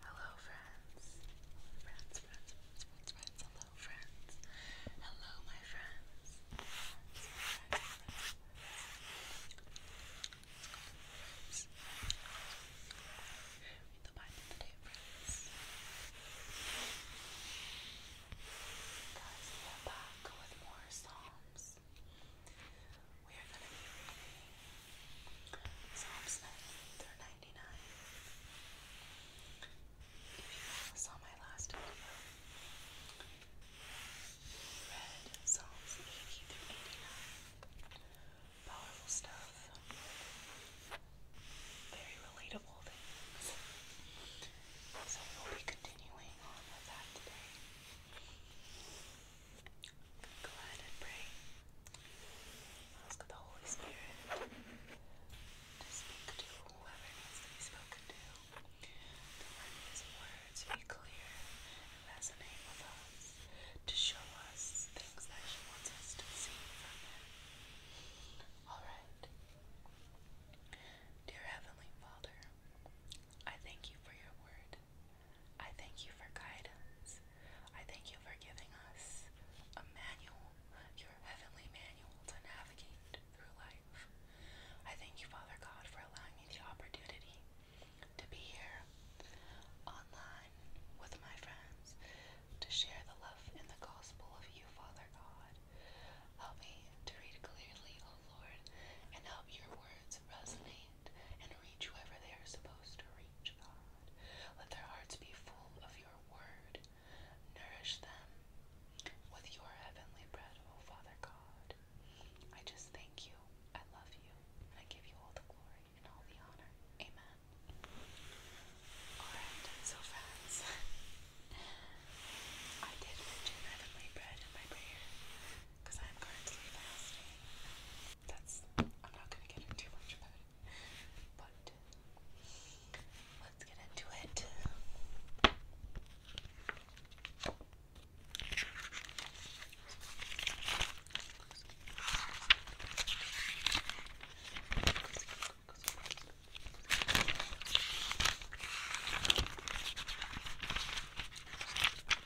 Hello friends. friends, friends, friends, friends, hello friends, hello my friends. Read the Bible today, friends. Guys, we are back with more Psalms we are going to be reading Psalms 90 If you saw my last video, read Psalms 80 Powerful stuff. Very relatable things. So we will be continuing on with that today. Go and pray. Ask the Holy Spirit to speak to whoever needs spoken to. let His words be clear and resonate with us. To show us things that He wants us to see Alright. Dear Heavenly Father, I thank you for your word. I thank you for guidance. I thank you for giving us a manual, your heavenly manual to navigate through life. I thank you, Father God, for allowing me the opportunity to be here online with my friends to share the love and the gospel of you, Father God. Help me to read clearly, O oh Lord, and help your words resonate and reach whoever they are supposed to reach. Let their hearts be full of your word. Nourish them with your heavenly bread, O Father God. I just thank you. I love you. I give you all the glory and all the honor. Amen. Alright, so friends, I did mention heavenly bread in my prayer because I'm currently fasting. That's I'm not gonna get into too much about it. But let's get into it.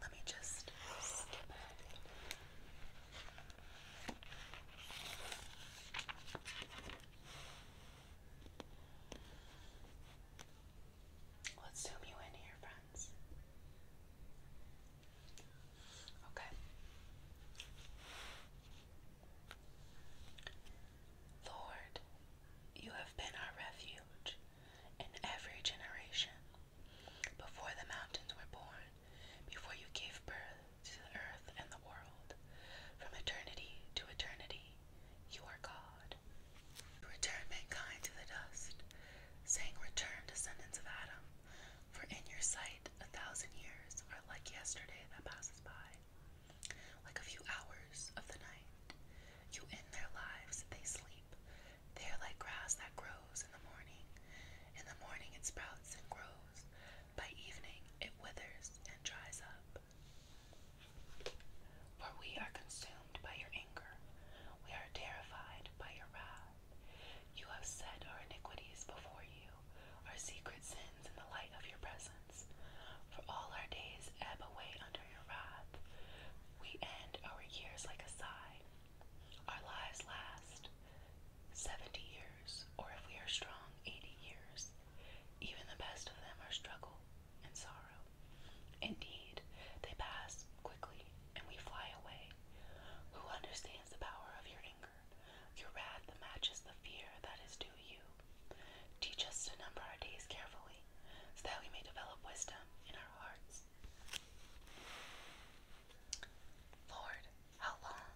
Let me just Let's zoom you in here, friends. Okay. Lord, you have been our refuge in every generation before the mountains were born, before you gave birth to the earth and the world, from eternity to eternity, you are God. Return mankind to the dust, saying, Return, descendants of Adam, for in your sight a thousand years are like yesterday that passes by, like a few hours of the night. You end their lives, they sleep. They are like grass that grows in the morning. In the morning it sprouts and grows. By evening it withers and dries up. For we are consumed by your anger. We are terrified by your wrath. You have set our iniquities before you, our secret sins in the light of your presence. For all our days ebb away your wrath. We end our years like a sigh. Our lives last 70 years, or if we are strong, 80 years. Even the best of them are struggle and sorrow. Indeed, they pass quickly and we fly away. Who understands the power of your anger, your wrath that matches the fear that is due you? Teach us to number our days carefully, so that we may develop wisdom in our hearts. Lord, how long?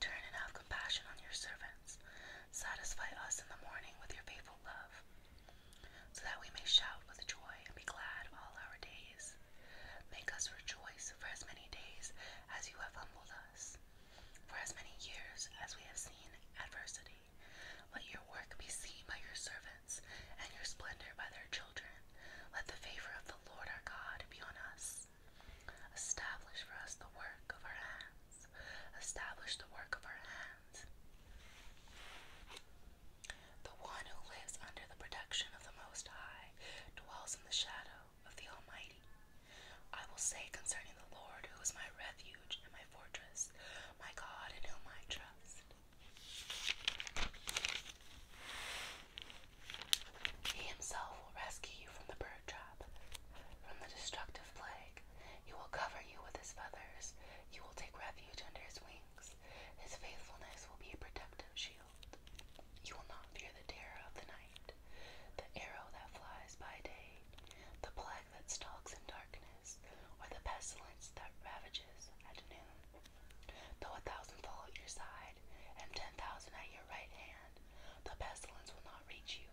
Turn and have compassion on your servants. Satisfy us in the morning with your faithful love, so that we may shout with joy and be glad all our days. Make us rejoice for as many days as you have humbled us, for as many years as we have seen adversity. Let your work be seen by your servants, and your splendor by their children. Let the favor of the Lord our God be on us. Establish for us the work of our hands. Establish the work of our hands. The one who lives under the protection of the Most High dwells in the shadow of the Almighty. I will say concerning the Lord, who is my refuge and my fortress, my God in whom I trust. He himself will rescue you from the bird trap, from the destructive plague. He will cover you with his feathers. You will take refuge under his wings. His faithfulness will be a protective shield. You will not fear the terror of the night, the arrow that flies by day, the plague that stalks in darkness or the pestilence that ravages at noon. Though a thousand fall at your side, and ten thousand at your right hand, the pestilence will not reach you.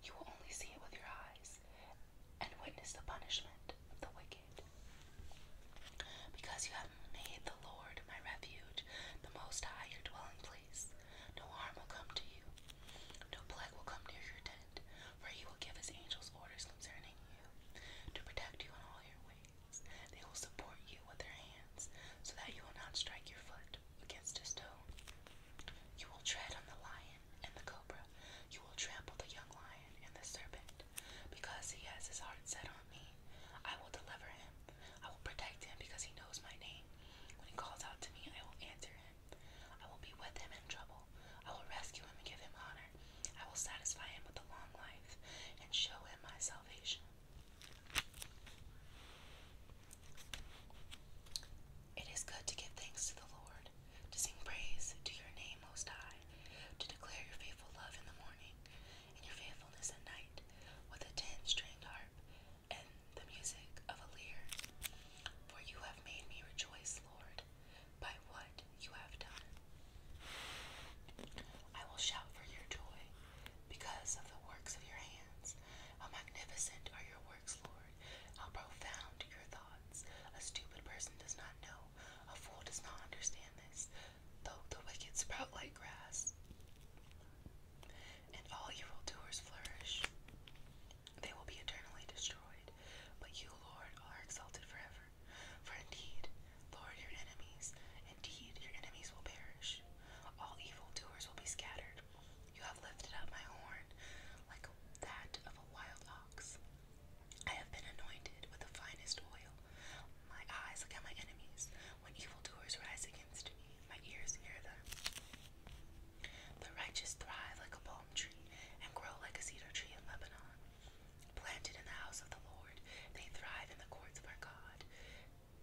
You will only see it with your eyes, and witness the punishment of the wicked. Because you have made the Lord my refuge, the Most High your dwelling place, no harm will come to you, no plague will come near your tent, for he will give his angels orders concerning you to protect you in all your ways. They will support you with their hands so that you will not strike your foot against a stone. You will tread on the lion and the cobra. You will trample the young lion and the serpent. Because he has his heart set on me, I will deliver him. I will protect him because he knows my name. When he calls out to me, I will answer him. I will be with him in trouble. I will rescue him and give him honor. I will satisfy him with a long life and show him my salvation. It is good to give thanks to the Lord, to sing praise to your name, Most High, to declare your faithful love in the morning and your faithfulness at night with a ten stringed harp and the music of a lyre. For you have made me rejoice, Lord by what you have done. I will shout for your joy because of the works of your hands. How magnificent are your works, Lord! How profound your thoughts! A stupid person does not know, a fool does not understand this, though the wicked sprout like grass. And all evildoers flourish. They will be eternally destroyed, but you, Lord, are exalted forever. For indeed, Lord, your enemies, indeed, your enemies will perish. All evildoers will be scattered. You have lifted up my horn like that of a wild ox. I have been anointed with the finest oil. My eyes look at my enemies. When evildoers rise against me, my ears hear them. The righteous thrive like a palm tree and grow like a cedar tree in Lebanon. Planted in the house of the Lord, they thrive in the courts of our God.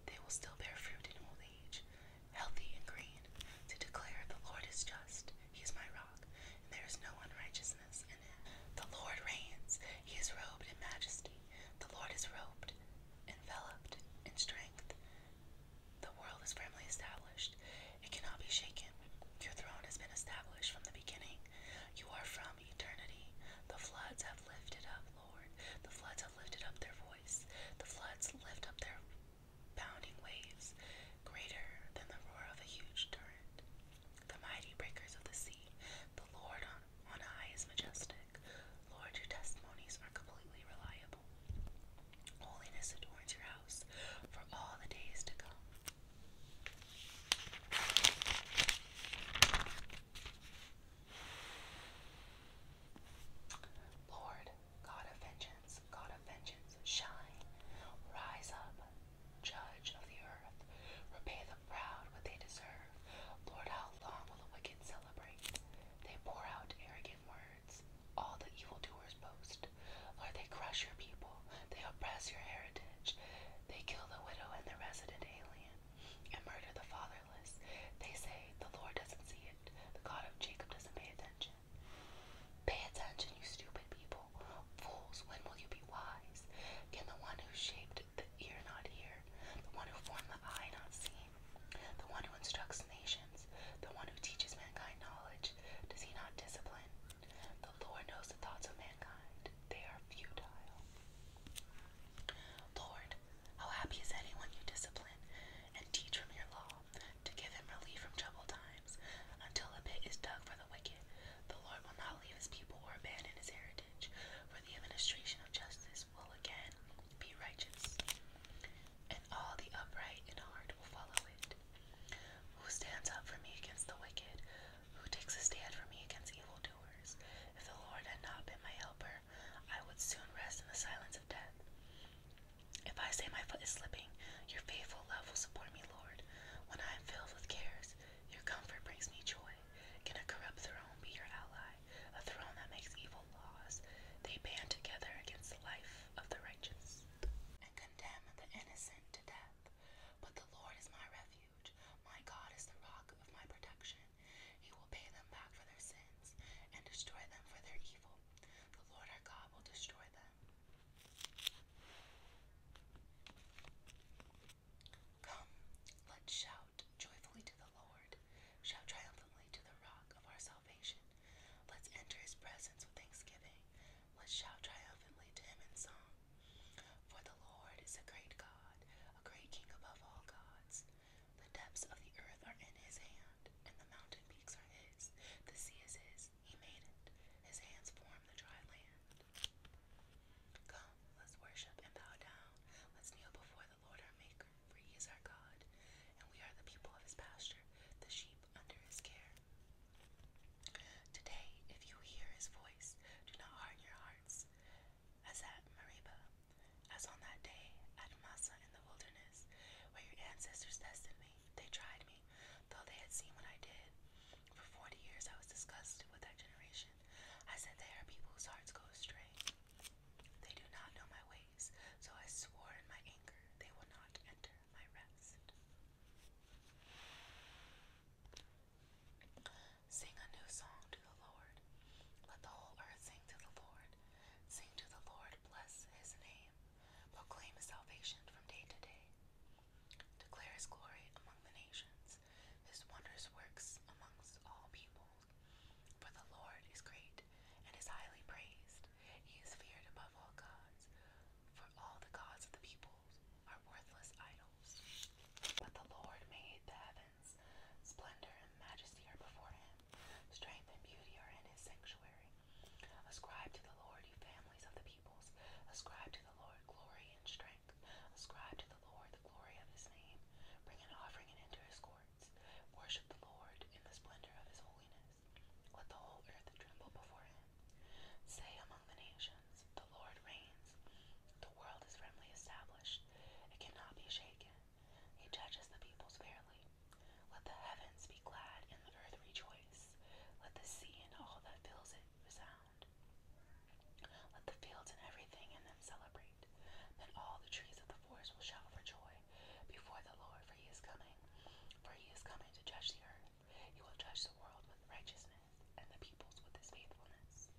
They will still bear fruit in old age, healthy and green, to declare the Lord is just. He is my rock, and there is no unrighteousness in him. The Lord reigns. He is robed in majesty. The Lord is robed, enveloped in strength. The world is firmly established, it cannot be shaken. Your throne has been established from the beginning. You are from eternity. The floods have lifted up, Lord. The floods have lifted up their voice. The floods lift up their bounding waves, greater than the roar of a huge torrent. The mighty breakers of the sea, the Lord on, high is majestic. Lord, your testimonies are completely reliable. Holiness adorns your house for all the days to come. Lord, God of vengeance, God of vengeance, shine, rise up, judge of the earth, repay the proud what they deserve. Lord, how long will the wicked celebrate? They pour out arrogant words all the evildoers boast. Lord, they crush your people, they oppress your heritage, they kill the widow and the resident alien, and murder the fatherless. They say, The Lord doesn't see it, the God of Jacob doesn't pay attention. Pay attention, you stupid people. Fools, when will you be wise? Can the one who shaped the ear not hear, the one who formed the eye not see? the one who instructs nations, the one who teaches mankind knowledge, does he not discipline? The Lord knows the thoughts of mankind, they are futile. Lord, how happy is anyone you discipline and teach from your law, to give him relief from troubled times, until a pit is dug for the wicked. The Lord will not leave his people or abandon his heritage, for the administration of justice will again be righteous, and all the upright in heart will follow it. Who stands up for me against the wicked? Who takes a stand for me against evil doers? If the Lord had not been my helper, I would soon rest in the silence of death. If I say my foot is slipping, your faithful love will support me, Lord. When I am filled with cares, your comfort brings me joy. Can a corrupt throne be your ally? A throne that makes evil laws, they band together against the life of the righteous and condemn the innocent to death. But the Lord is my refuge, my God is the rock of my protection. He will pay them back for their sins and destroy them for their evil. The Lord our God will destroy them. Come, let's shout joyfully to the Lord, shout triumphantly to the rock of our salvation. Let's enter his presence with thanksgiving. Let's shout triumphantly to him in song. For the Lord is a great God, a great King above all gods. The depths of the earth are in his hand, and the mountain peaks are his. The sea is his. He made it. His hands form the dry land. Come, let's worship and bow down. Let's kneel before Lord our Maker, for he is our God, and we are the people of his pasture, the sheep under his care. Today, if you hear his voice, do not harden your hearts, as at Meribah, as on that day at Massa in the wilderness, where your ancestors tested me. They tried me, though they had seen what I did. For forty years I was disgusted with that generation. I said, They are people whose hearts go astray. They do not know my ways, so I swore in my anger they will not enter my rest. Sing a new song to the Lord. Let the whole earth sing to the Lord. Sing to the Lord, bless his name. Proclaim his salvation from day to day. Declare his glory among the nations, his wondrous works amongst all people. For the Lord is great and is highly praised. He is feared above all gods. For all the gods of the peoples are worthless idols. But the Lord made the heavens. Splendor and majesty are before him. Strength and beauty are in his sanctuary. Ascribe to the Lord, you families of the peoples. Ascribe to the Lord glory and strength. Ascribe to the Lord the glory of his name. Bring an offering and enter his court. Worship the Lord in the splendor of his holiness. Let the whole earth tremble before him. Say among the nations, The Lord reigns. The world is firmly established, it cannot be shaken. He judges the peoples fairly. Let the heavens be glad and the earth rejoice. Let the sea and all that fills it resound. Let the fields and everything in them celebrate great. Then all the trees of the forest will shout for joy before the Lord, for he is coming. For he is coming to judge the earth. He will judge the world with righteousness and the peoples with his faithfulness.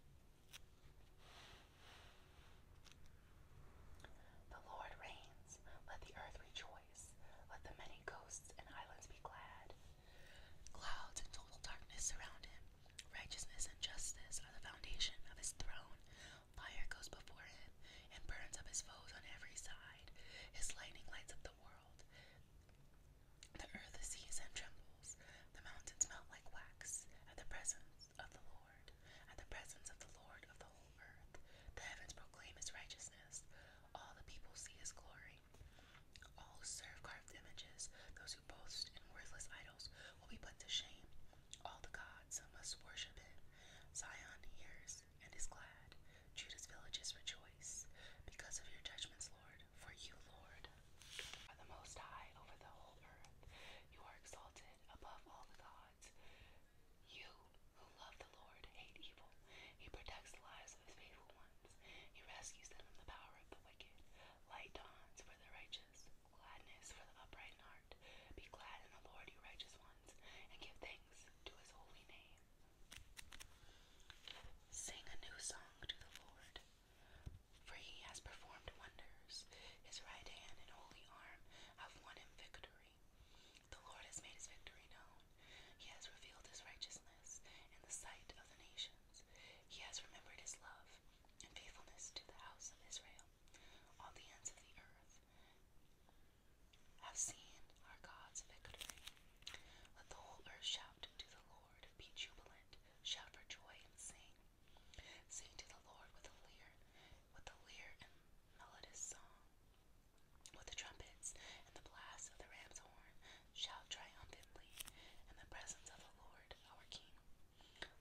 The Lord reigns. Let the earth rejoice. Let the many coasts and islands be glad. Clouds and total darkness surround him. Righteousness and justice are the foundation of his throne. Fire goes before him and burns up his foes on every side. His lightning lights up the world. The earth sees and trembles. The mountains melt like wax at the presence of the Lord, at the presence of the Lord of the whole earth. The heavens proclaim his righteousness. All the people see his glory. All who serve carved images, those who boast in worthless idols, will be put to shame. All the gods must worship him. Zion hears and is glad. Judah's villages rejoice because of your judgments, Lord. For you, Lord, are the most high over the whole earth. You are exalted above all the gods. You who love the Lord hate evil. He protects the lives of his faithful ones. He rescues them from the power of the wicked. Light dawns for the righteous. Gladness for the upright in heart. Be glad in the Lord, you righteous ones, and give thanks to his holy name. Sing a new song to the Lord, for he has performed wonders. His right hand and holy arm have won him victory. The Lord has made his victory known. He has revealed his righteousness in the sight of the nations. He has remembered his love and faithfulness to the house of Israel all the ends of the earth have seen our God's victory. Let the whole earth shout to the Lord, be jubilant, shout for joy and sing. Sing to the Lord with a lyre, with a lyre and melodious song. With the trumpets and the blast of the ram's horn, shout triumphantly in the presence of the Lord our King.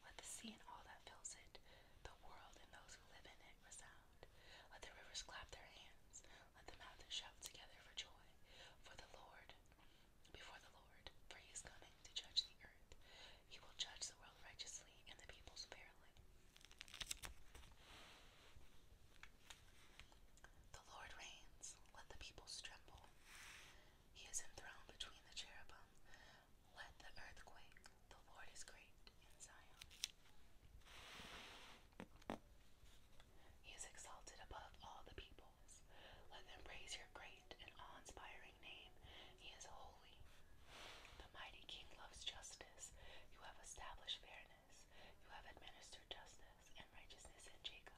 Let the sea and all that fills it, the world and those who live in it resound. Let the rivers clap their hands, let the mountains shout together for joy, for the Lord, before the Lord, for he is coming to judge the earth. He will judge the world righteously and the peoples fairly. The Lord reigns, let the peoples tremble. He is enthroned between the cherubim. Let the earth quake, the Lord is great in Zion. He is exalted above all the peoples. Let them praise your great and awe inspiring name. He is holy. The mighty king loves justice. You have established fairness. You have administered justice and righteousness in Jacob.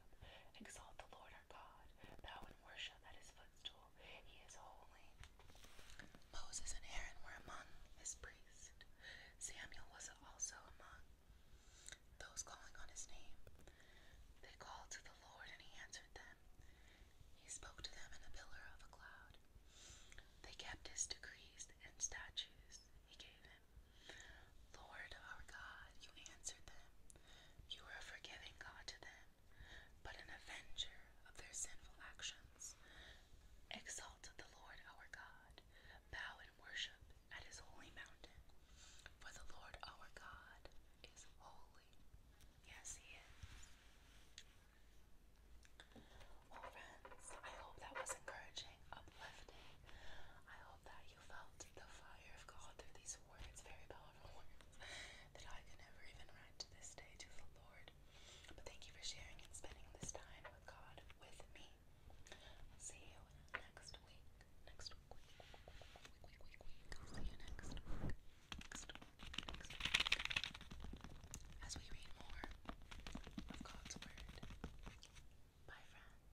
Exalt the Lord our God, thou and worship at his footstool people he is holy. Moses and Aaron were among his priests. Samuel was also among those calling on his name. They called to the Lord and he answered them. He spoke to them in a pillar of a cloud. They kept his decrees and statutes he gave him. Lord our God, you answered them. You are a forgiving God to them but an avenger of their sinful actions. Exalt the Lord our God, bow and worship at his holy mountain, for the Lord our God is holy. Yes, he is. Well, oh, friends, I hope that was encouraging, uplifting. I hope that you felt the fire of God through these words very that I could never even write to this day to the Lord. But thank you for sharing and spending this time with God with me. see you next week. Next week. see you Next week. As we read more of God's Word. Bye, friends.